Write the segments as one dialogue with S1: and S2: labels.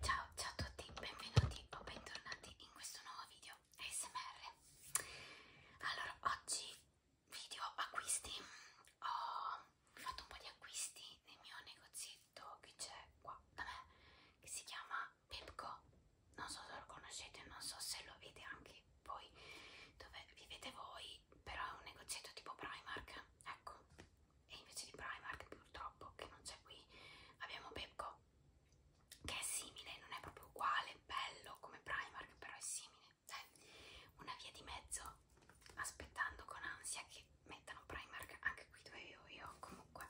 S1: Ciao, ciao a tutti, benvenuti o bentornati in questo nuovo video ASMR. Allora, oggi video acquisti. Ho fatto un po' di acquisti nel mio negozietto che c'è qua da me, che si chiama Pepco. Non so se lo conoscete, non so se lo vede anche voi dove vivete voi, però è un negozietto tipo Primark. Ecco, e invece di Primark purtroppo che non c'è qui abbiamo Pepco che è simile, non è proprio uguale, bello come Primark però è simile Dai, cioè, una via di mezzo aspettando con ansia che mettano Primark anche qui dove vivo io comunque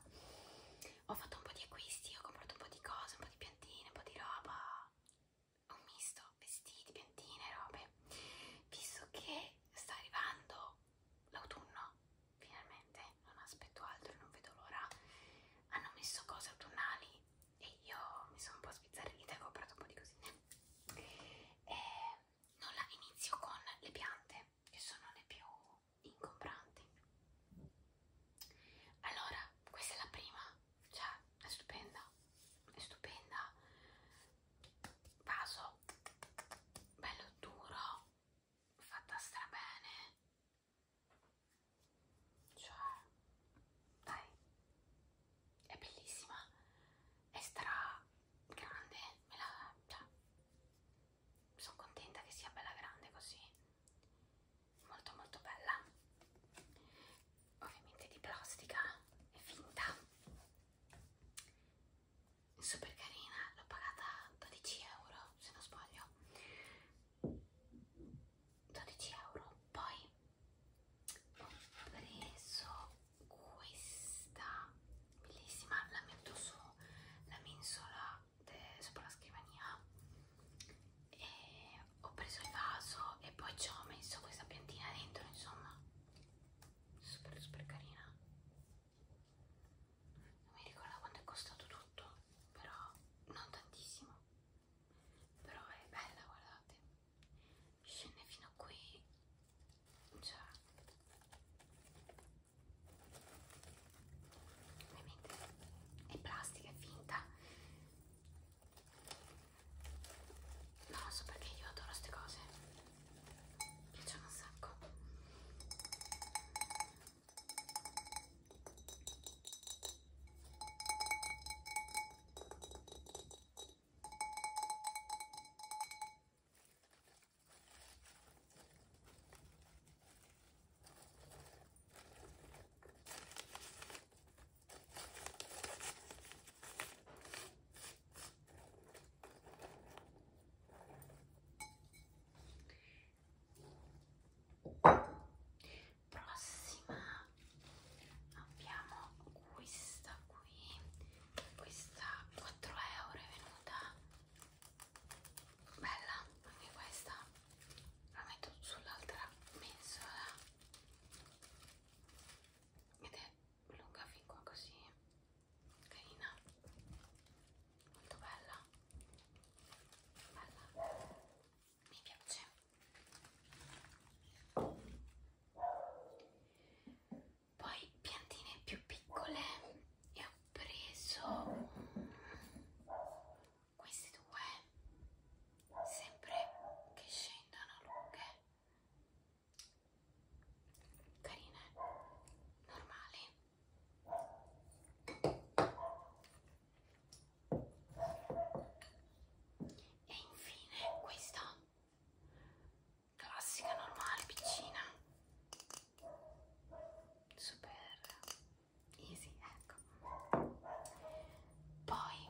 S1: ho fatto un po' di acquisti, ho comprato un po' di cose, un po' di piantine, un po' di roba un misto, vestiti, piantine, robe visto che sta arrivando l'autunno, finalmente, non aspetto altro, non vedo l'ora. Hanno messo cose autunnali e io mi sono un po' sbizzarrita e ho comprato un po' di cosine. E non la inizio con le piante, che sono le più incompranti. Allora, questa è la prima, cioè è stupenda, è stupenda, vaso bello duro fatta strabene cioè dai è bellissima è stra grande me la cioè, sono contenta che sia bella grande così molto molto bella ovviamente di plastica e finta super carina, l'ho pagata 12 euro se non sbaglio 12 euro poi ho preso questa bellissima la metto su la mensola sopra la scrivania e ho preso il vaso e poi ci ho messo questa piantina dentro insomma super super carina non mi ricordo quanto è costato tutto però non tantissimo però è bella guardate scende fino a qui cioè ovviamente è plastica, è finta No, non so perché io adoro queste cose. Mi piacciono un sacco. Prossima abbiamo questa qui, questa 4 euro è venuta bella anche questa, la metto sull'altra mensola ed è lunga fin qua così carina molto bella bella mi piace poi piantine più piccole e ho preso queste due sempre che scendano lunghe carine normali e infine questa classica normale piccina super easy ecco poi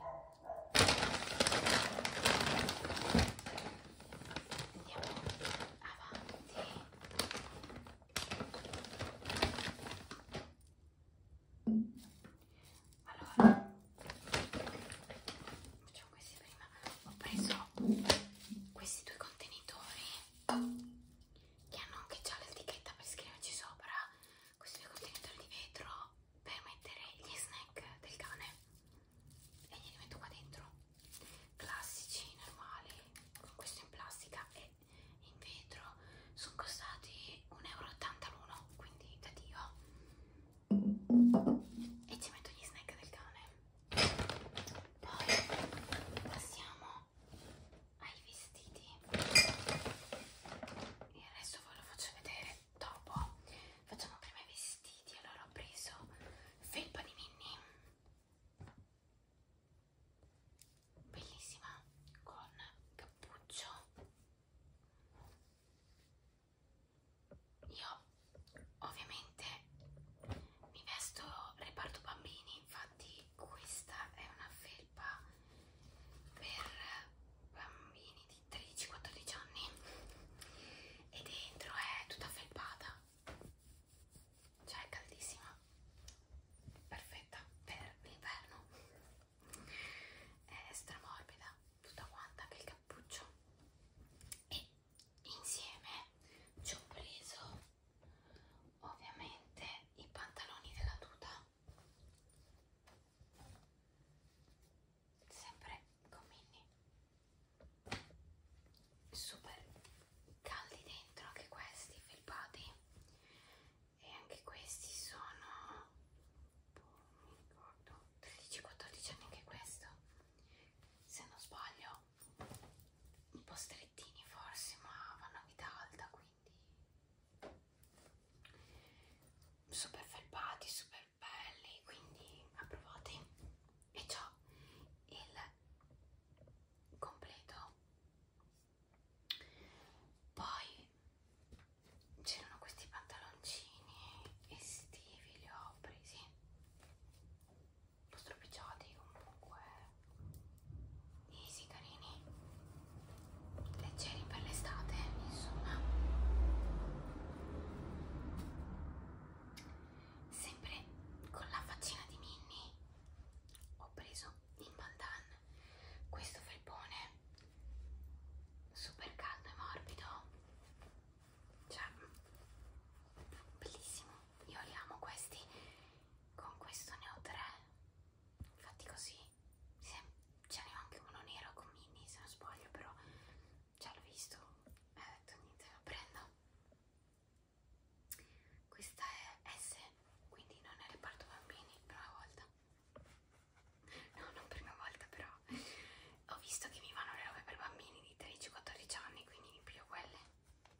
S1: andiamo avanti allora facciamo questi prima ho preso questi due contenitori che hanno anche già l'etichetta per scriverci sopra questo è il contenitore di vetro per mettere gli snack del cane e glieli metto qua dentro. Classici, normali, con questo in plastica e in vetro. Sono costati 1,80 euro l'uno, quindi da Dio. E ci metto gli snack del cane. Poi passiamo ai vestiti il resto ve lo faccio vedere dopo facciamo prima i vestiti allora ho preso felpa di Minnie bellissima con cappuccio io ovviamente mi vesto reparto bambini infatti questa è una felpa per bambini di 13-14 anni e dentro è tutta felpata cioè è caldissima perfetta per l'inverno è stramorbida tutta quanta anche il cappuccio e insieme ci ho preso ovviamente i pantaloni della tuta sempre comini super caldi dentro anche questi felpati e anche questi sono boh, mi ricordo 13-14 anni anche questo se non sbaglio un po' strettini forse, ma vanno a vita alta, quindi super felpati, super belli, quindi approvati. E ciò il completo. Poi c'erano questi pantaloncini estivi, li ho presi un po' stropicciati comunque easy carini leggeri per l'estate insomma sempre con la faccina di Minnie ho preso in bandana questo felpone super caldo e morbido cioè bellissimo io li amo questi con questo ne ho tre infatti così ce n'è anche uno nero con mini se non sbaglio però già l'ho visto e ho detto niente lo prendo questa è S quindi non è reparto bambini prima volta no non prima volta però ho visto che mi vanno le robe per bambini di 13-14 anni quindi mi piglio quelle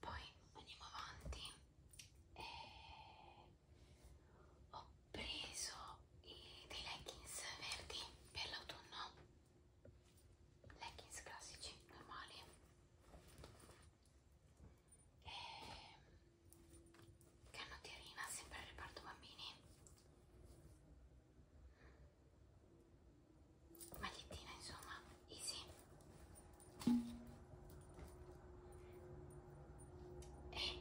S1: poi andiamo avanti e eh, ho preso i, dei leggings verdi per l'autunno leggings classici normali e ehm, canotierina sempre al reparto bambini magliettina insomma easy e eh,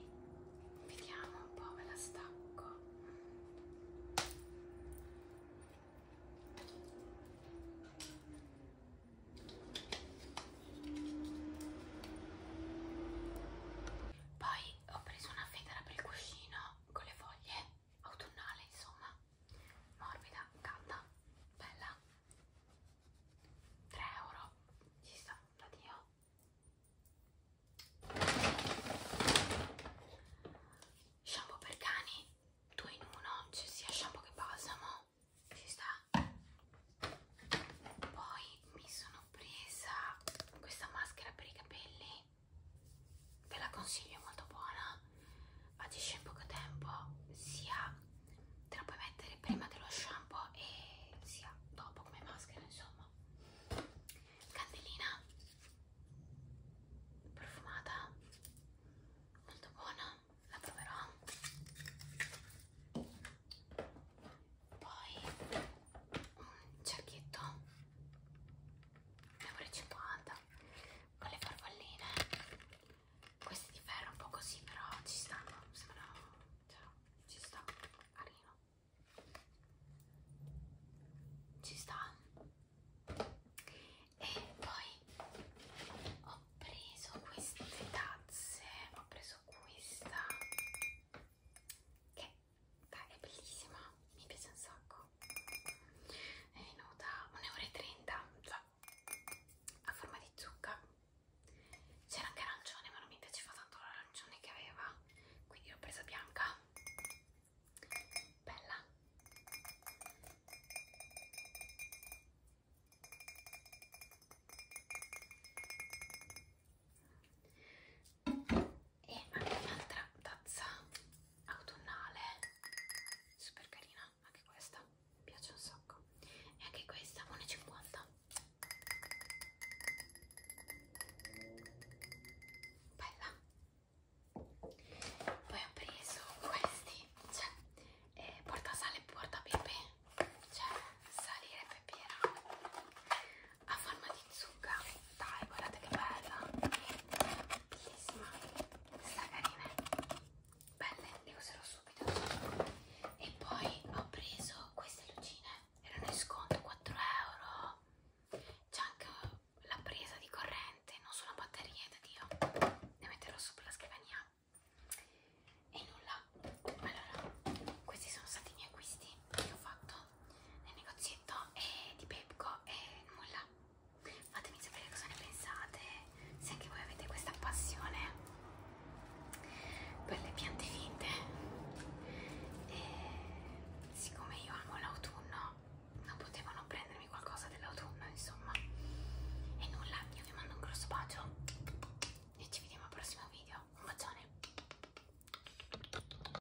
S1: vediamo un po' me la stacco poi ho preso una federa per il cuscino con le foglie autunnale insomma morbida, calda, bella 3 euro ci sta da dio shampoo per cani 2 in 1 c'è sia shampoo che balsamo ci sta poi mi sono presa questa maschera per i capelli ve la consiglio è molto buona agisce in poco tempo sia te la puoi mettere prima dello shampoo e sia dopo come maschera insomma candelina profumata molto buona la proverò poi un cerchietto ne 50 con le farfalline questi di ferro un po' così però ci stanno sembra cioè, ci sta carino ci sta e poi ho preso queste tazze ho preso questa che dai, è bellissima mi piace un sacco è venuta 1,30 euro cioè, a forma di zucca c'era anche arancione ma non mi piaceva tanto l'arancione che aveva quindi l'ho presa bianca bella e anche un'altra tazza autunnale super carina anche questa mi piace un sacco e anche questa 1,50 bella poi ho preso questi cioè eh, portasale e porta pepe cioè salire pepiera a forma di zucca dai, guardate che bella! Bellissima! Questa carina! Belle, le userò subito. E poi ho preso queste lucine, erano in sconto 4 euro. C'è anche la presa di corrente, non sono batterie da Dio. Le metterò sopra la scrivania. E nulla. Allora, questi sono stati i miei acquisti che ho fatto nel negozietto e di Pepco e nulla fatemi sapere cosa ne pensate se anche voi avete questa passione per le piante finte e siccome io amo l'autunno non potevano prendermi qualcosa dell'autunno insomma e nulla io vi mando un grosso bacio e ci vediamo al prossimo video un bacione